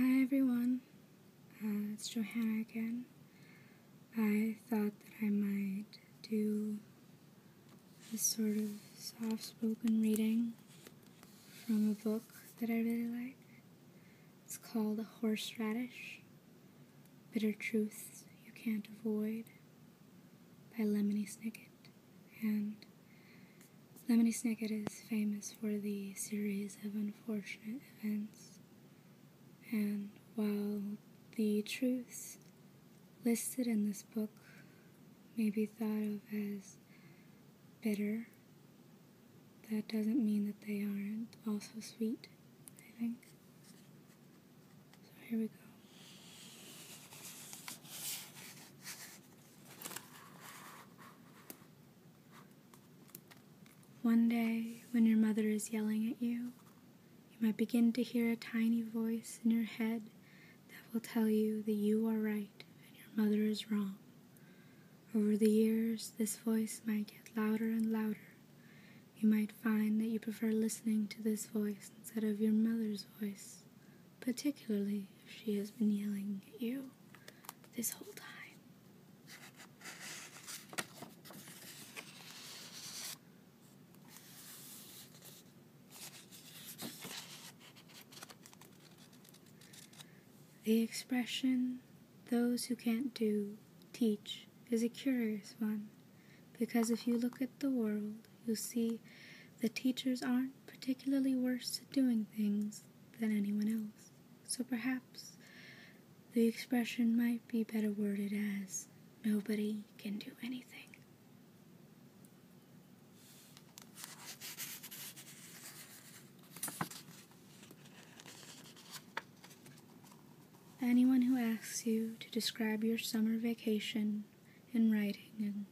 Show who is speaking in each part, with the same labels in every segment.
Speaker 1: Hi everyone, uh, it's Johanna again. I thought that I might do a sort of soft spoken reading from a book that I really like. It's called Horseradish Bitter Truths You Can't Avoid by Lemony Snicket and Lemony Snicket is famous for the series of unfortunate events, and while the truths listed in this book may be thought of as bitter, that doesn't mean that they aren't also sweet, I think. So here we go. One day, when your mother is yelling at you, you might begin to hear a tiny voice in your head that will tell you that you are right and your mother is wrong. Over the years, this voice might get louder and louder. You might find that you prefer listening to this voice instead of your mother's voice particularly if she has been yelling at you this whole time. The expression, those who can't do, teach, is a curious one. Because if you look at the world, you see the teachers aren't particularly worse at doing things than anyone else. So perhaps the expression might be better worded as nobody can do anything. Anyone who asks you to describe your summer vacation in writing and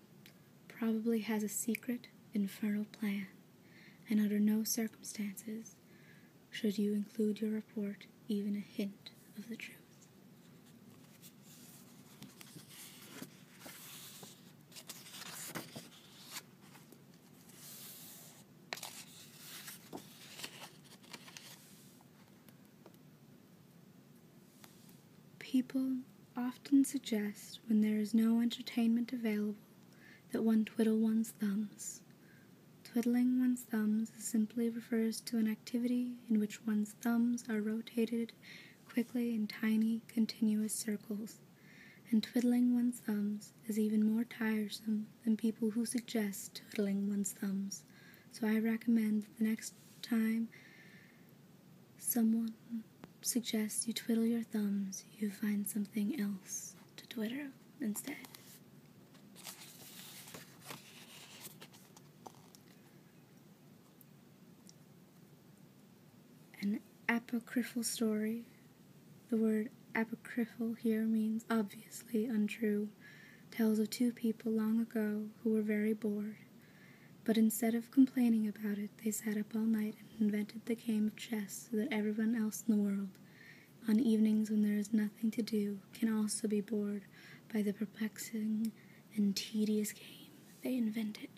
Speaker 1: probably has a secret, infernal plan, and under no circumstances should you include in your report even a hint of the truth. People often suggest when there is no entertainment available that one twiddle one's thumbs. Twiddling one's thumbs simply refers to an activity in which one's thumbs are rotated quickly in tiny, continuous circles, and twiddling one's thumbs is even more tiresome than people who suggest twiddling one's thumbs. So I recommend that the next time Someone suggests you twiddle your thumbs, you find something else to twitter instead. An apocryphal story. The word apocryphal here means obviously untrue. Tells of two people long ago who were very bored but instead of complaining about it, they sat up all night and invented the game of chess so that everyone else in the world, on evenings when there is nothing to do, can also be bored by the perplexing and tedious game they invented.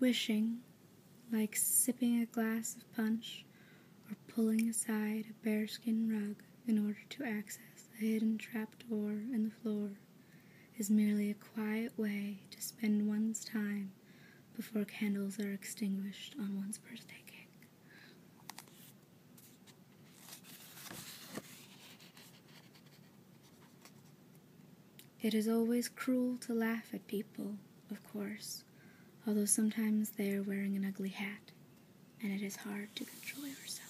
Speaker 1: Wishing, like sipping a glass of punch, or pulling aside a bearskin rug in order to access a hidden trapdoor in the floor is merely a quiet way to spend one's time before candles are extinguished on one's birthday cake. It is always cruel to laugh at people, of course, although sometimes they are wearing an ugly hat, and it is hard to control yourself.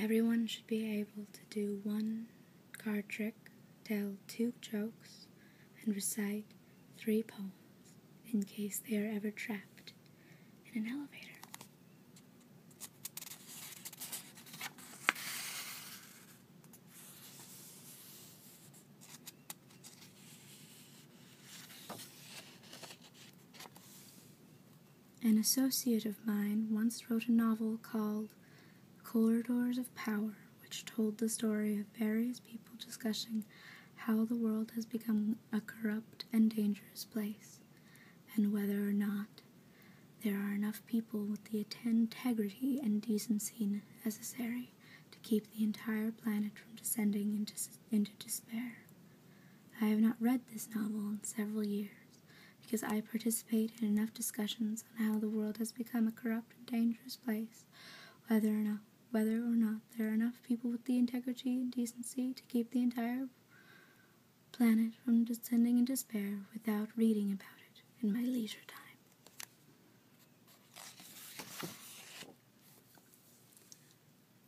Speaker 1: Everyone should be able to do one card trick, tell two jokes, and recite three poems in case they are ever trapped in an elevator. An associate of mine once wrote a novel called Corridors of Power, which told the story of various people discussing how the world has become a corrupt and dangerous place, and whether or not there are enough people with the integrity and decency necessary to keep the entire planet from descending into, despair. I have not read this novel in several years because I participate in enough discussions on how the world has become a corrupt and dangerous place, whether or not whether or not there are enough people with the integrity and decency to keep the entire planet from descending in despair without reading about it in my leisure time.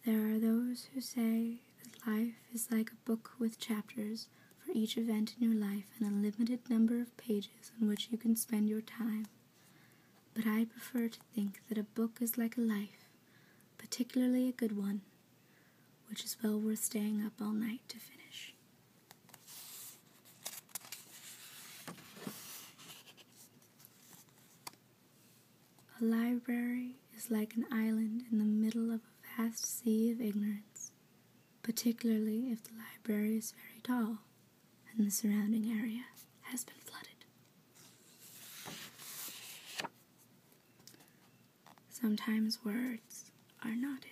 Speaker 1: There are those who say that life is like a book with chapters for each event in your life and a limited number of pages on which you can spend your time. But I prefer to think that a book is like a life, particularly a good one, which is well worth staying up all night to finish. A library is like an island in the middle of a vast sea of ignorance, particularly if the library is very tall and the surrounding area has been flooded. Sometimes words are not enough.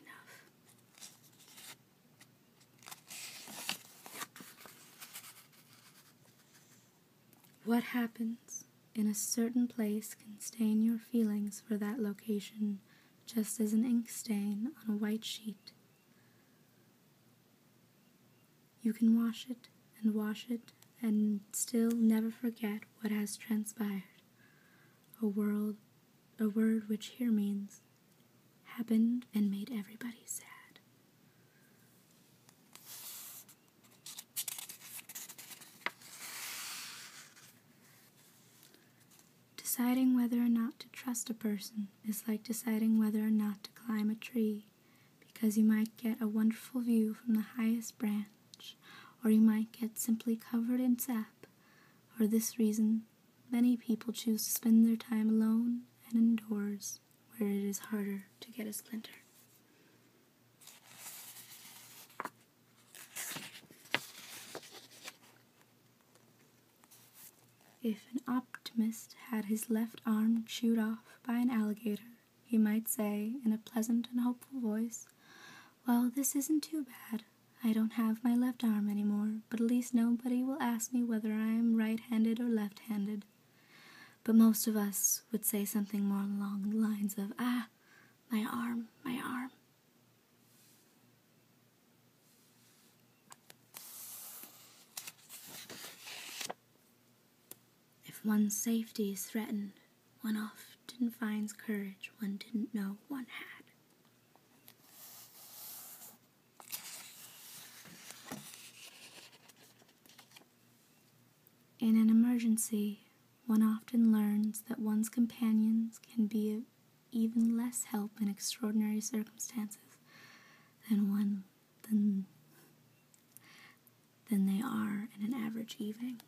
Speaker 1: What happens in a certain place can stain your feelings for that location just as an ink stain on a white sheet. You can wash it and wash it and still never forget what has transpired. A world a word which here means happened and made everybody sad. Deciding whether or not to trust a person is like deciding whether or not to climb a tree because you might get a wonderful view from the highest branch, or you might get simply covered in sap for this reason, many people choose to spend their time alone and indoors, where it is harder to get a splinter. If an optimist had his left arm chewed off by an alligator, he might say in a pleasant and hopeful voice, Well, this isn't too bad. I don't have my left arm any more, but at least nobody will ask me whether I am right handed or left handed. But most of us would say something more along the lines of, Ah, my arm, my arm. If one's safety is threatened, one often finds courage one didn't know one had. In an emergency, one often learns that one's companions can be of even less help in extraordinary circumstances than one than than they are in an average evening.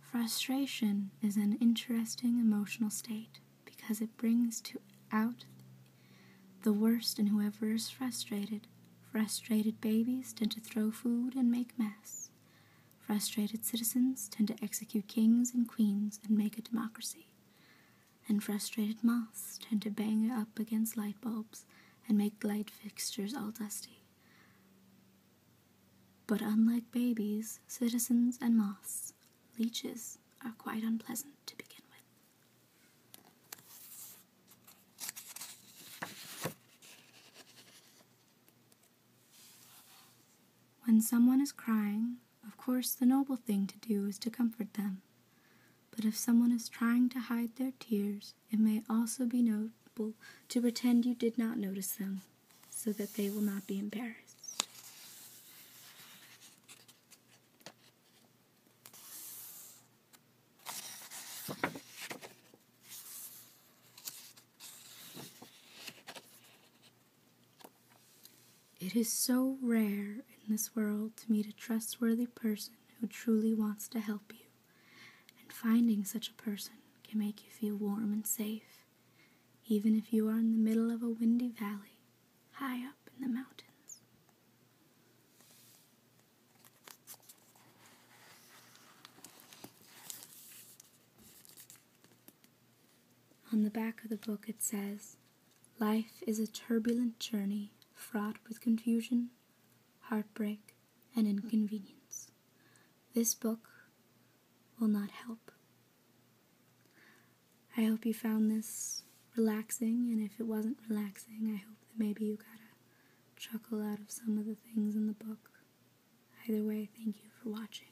Speaker 1: Frustration is an interesting emotional state because it brings to out the worst in whoever is frustrated. Frustrated babies tend to throw food and make mess. Frustrated citizens tend to execute kings and queens and make a democracy. And frustrated moths tend to bang up against light bulbs and make light fixtures all dusty. But unlike babies, citizens, and moths, leeches are quite unpleasant to begin with. When someone is crying, of course the noble thing to do is to comfort them. But if someone is trying to hide their tears, it may also be noble to pretend you did not notice them, so that they will not be embarrassed. It is so rare in this world to meet a trustworthy person who truly wants to help you and finding such a person can make you feel warm and safe, even if you are in the middle of a windy valley high up in the mountains. On the back of the book, it says, Life is a turbulent journey fraught with confusion, heartbreak, and inconvenience. This book will not help. I hope you found this relaxing, and if it wasn't relaxing, I hope that maybe you got a chuckle out of some of the things in the book. Either way, thank you for watching.